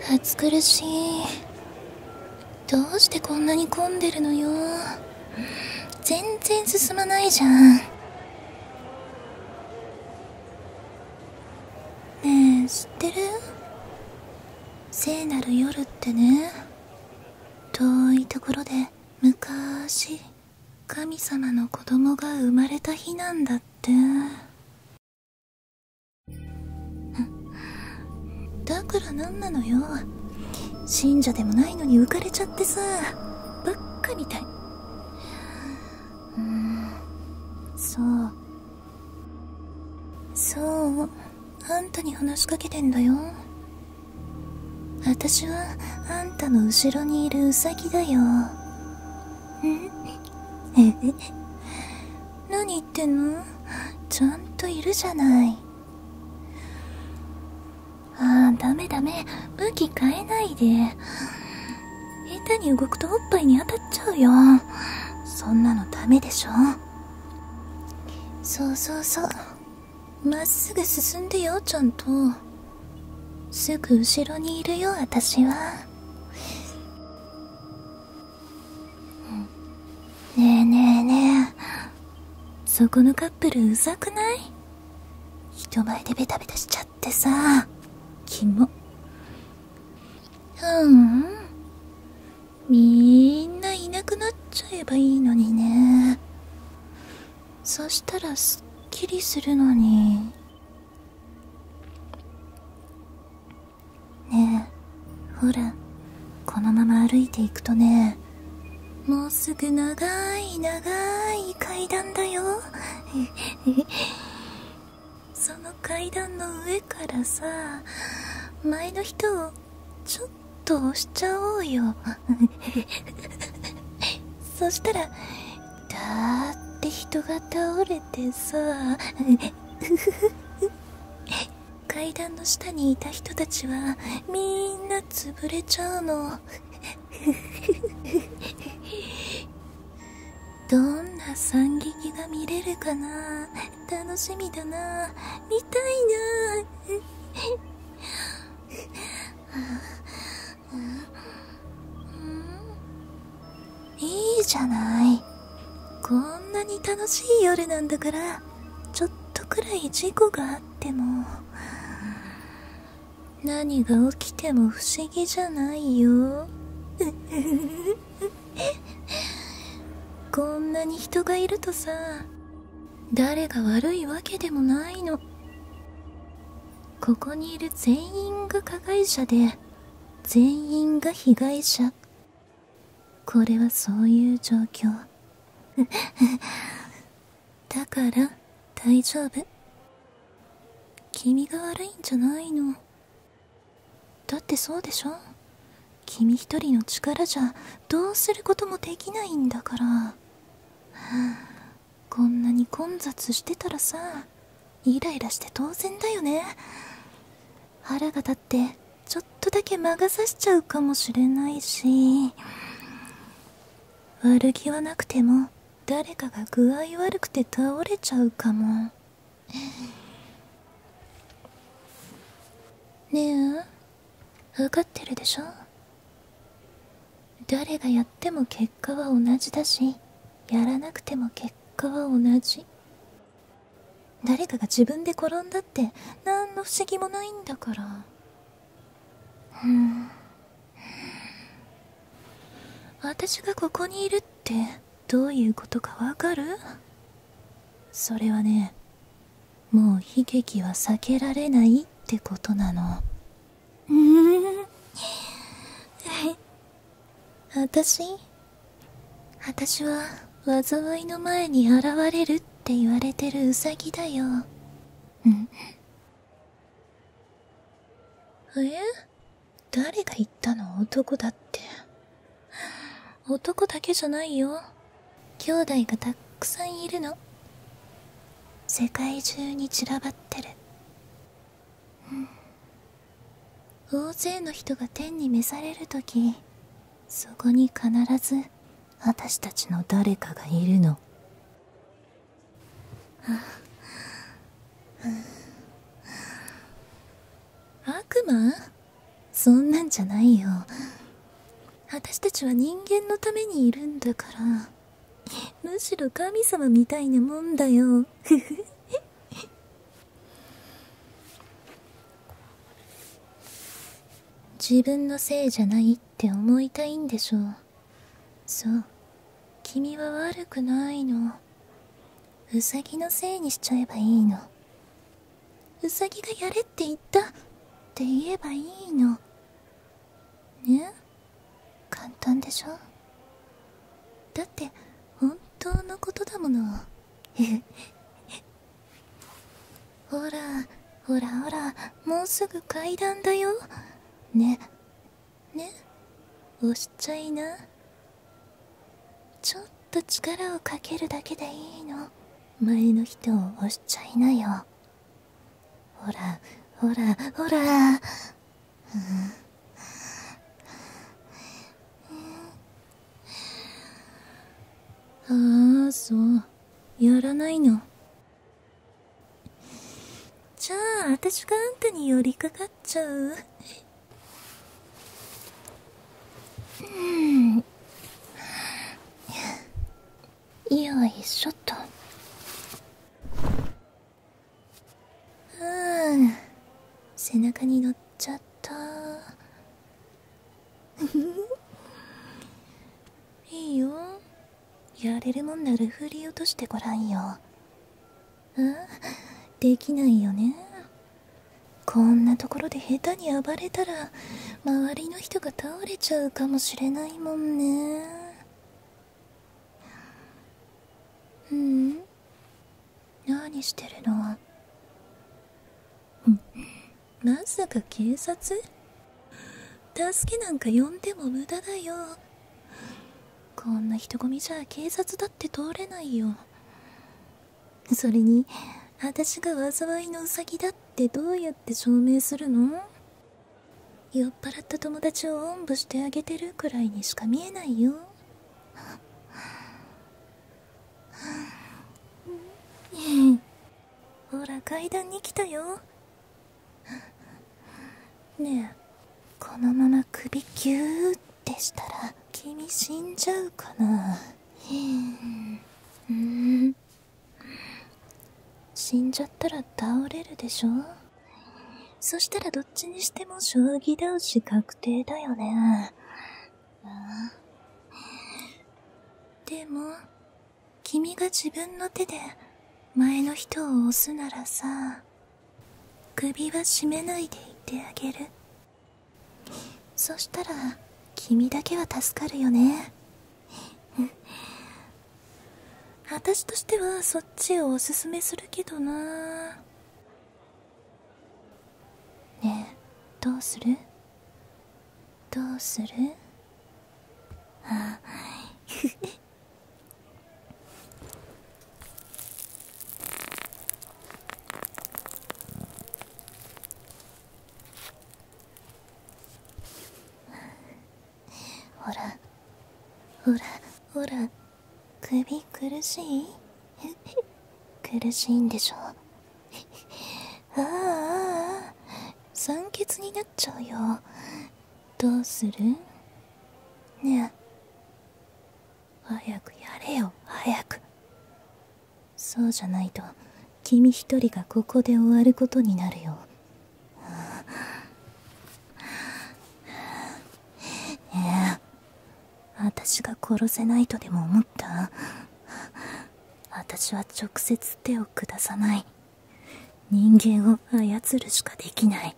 ふ暑苦しいどうしてこんなに混んでるのよ全然進まないじゃんねえ知ってる聖なる夜ってね遠いところで昔神様の子供が生まれた日なんだって だから何なのよ信者でもないのに浮かれちゃってさブッかみたいうんそうそうあんたに話しかけてんだよ私はあんたの後ろにいるウサギだよ何言ってんのちゃんといるじゃないああダメダメ向き変えないで下手に動くとおっぱいに当たっちゃうよそんなのダメでしょそうそうそうまっすぐ進んでよちゃんとすぐ後ろにいるよ私はねえねえねえそこのカップルうざくない人前でベタベタしちゃってさキモううんみんないなくなっちゃえばいいのにねそしたらすっきりするのにねえほらこのまま歩いていくとねもうすぐ長い長い階段だよ その階段の上からさ前の人をちょっと押しちゃおうよ そしたらだって人が倒れてさ 階段の下にいた人たちはみんな潰れちゃうの どんな惨劇が見れるかな楽しみだな見たいないいじゃないこんなに楽しい夜なんだからちょっとくらい事故があっても何が起きても不思議じゃないよ こんなに人がいるとさ誰が悪いわけでもないのここにいる全員が加害者で全員が被害者これはそういう状況 だから大丈夫君が悪いんじゃないのだってそうでしょ君一人の力じゃどうすることもできないんだから、はあ、こんなに混雑してたらさイライラして当然だよね腹が立ってちょっとだけ魔が差しちゃうかもしれないし悪気はなくても誰かが具合悪くて倒れちゃうかもねえ分かってるでしょ誰がやっても結果は同じだしやらなくても結果は同じ誰かが自分で転んだって何の不思議もないんだからうん私がここにいるってどういうことかわかるそれはねもう悲劇は避けられないってことなのうん私私は災いの前に現れるって言われてるウサギだよえんえ誰が言ったの男だって 男だけじゃないよ兄弟がたっくさんいるの世界中に散らばってる、大勢の人が天に召される時そこに必ず私たちの誰かがいるの悪魔そんなんじゃないよ私たちは人間のためにいるんだからむしろ神様みたいなもんだよふふ 自分のせいじゃないって思いたいんでしょうそう君は悪くないのウサギのせいにしちゃえばいいのウサギがやれって言ったって言えばいいのね簡単でしょだって本当のことだもの ほらほらほらもうすぐ階段だよねね押しちゃいなちょっと力をかけるだけでいいの前の人を押しちゃいなよほらほらほら、ああそうやらないのじゃああたしがあんたに寄りかかっちゃううんよいしょっとうん背中に乗っちゃった いいよやれるもんなら振り落としてごらんよああできないよねこんなところで下手に暴れたら周りの人が倒れちゃうかもしれないもんねうん何してるのまさか警察助けなんか呼んでも無駄だよこんな人混みじゃ警察だって通れないよそれに私が災いのウサギだってどうやって証明するの酔っ払った友達をおんぶしてあげてるくらいにしか見えないよほら階段に来たよねえこのまま首ギューッっしたら君死んじゃうかなうん死んじゃったら倒れるでしょそしたらどっちにしても将棋倒し確定だよねでも君が自分の手で前の人を押すならさ首は絞めないでいてあげるそしたら君だけは助かるよね 私としてはそっちをおすすめするけどなねえどうするどうするあほらほらほら首苦しい苦しいんでしょああ酸欠になっちゃうよどうするねえ早くやれよ早くそうじゃないと君一人がここで終わることになるよええ私が殺せないとでも思った私は直接手を下さない人間を操るしかできない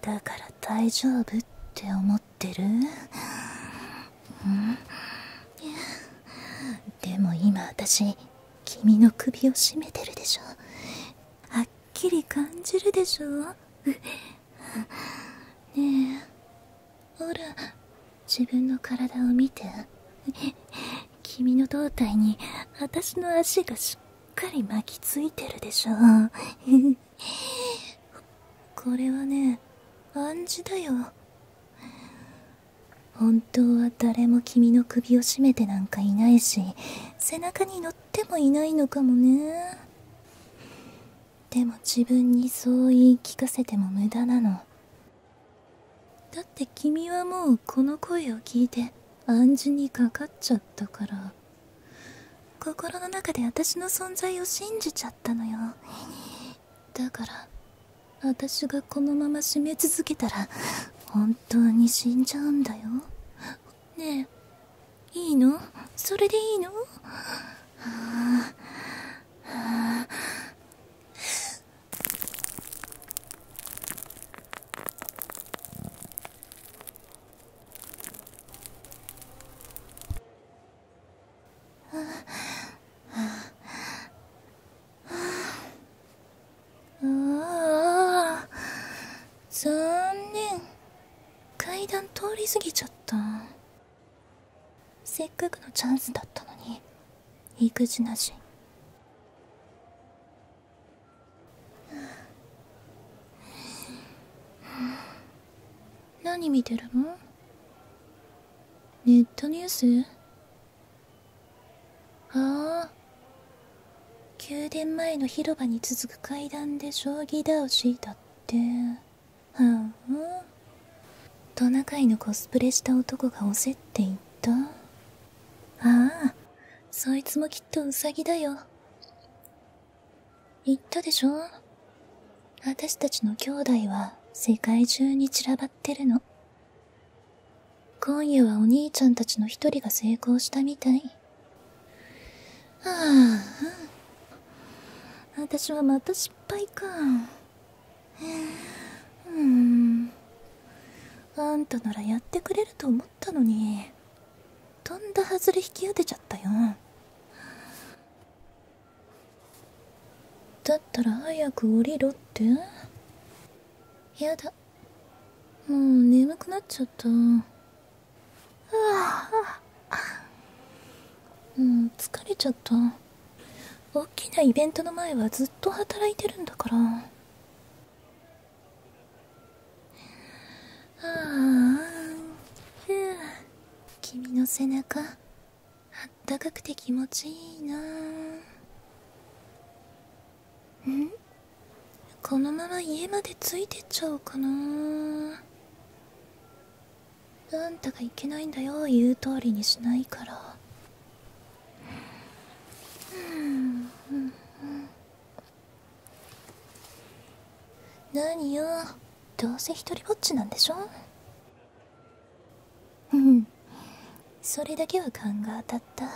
だから大丈夫って思ってるうんでも今私君の首を絞めてるでしょはっきり感じるでしょねえほら自分の体を見て君の胴体に私の足がしっかり巻きついてるでしょんこれはね暗示だよ本当は誰も君の首を絞めてなんかいないし背中に乗ってもいないのかもねでも自分にそう言い聞かせても無駄なのだって君はもうこの声を聞いて暗示にかかっちゃったから心の中で私の存在を信じちゃったのよだから私がこのまま締め続けたら本当に死んじゃうんだよねえいいのそれでいいのはあはあああ。残念。階段通り過ぎちゃったせっかくのチャンスだったのに育児なし何見てるのネットニュースああ宮殿前の広場に続く階段で将棋を敷いたってはん、あ、トナカイのコスプレした男がおせって言ったああそいつもきっとウサギだよ言ったでしょ私たちの兄弟は世界中に散らばってるの。今夜はお兄ちゃんたちの一人が成功したみたい。はあ、私はまた失敗か。うん。あんたならやってくれると思ったのに。とんだ外れ引き当てちゃったよだったら早く降りろってやだもう眠くなっちゃったはあもう疲れちゃった大きなイベントの前はずっと働いてるんだからああ君の背中あったかくて気持ちいいなうんこのまま家までついてっちゃおうかなあんたがいけないんだよ言う通りにしないからうんうん何よどうせ一人ぼっちなんでしょうんそれだけは勘が当たった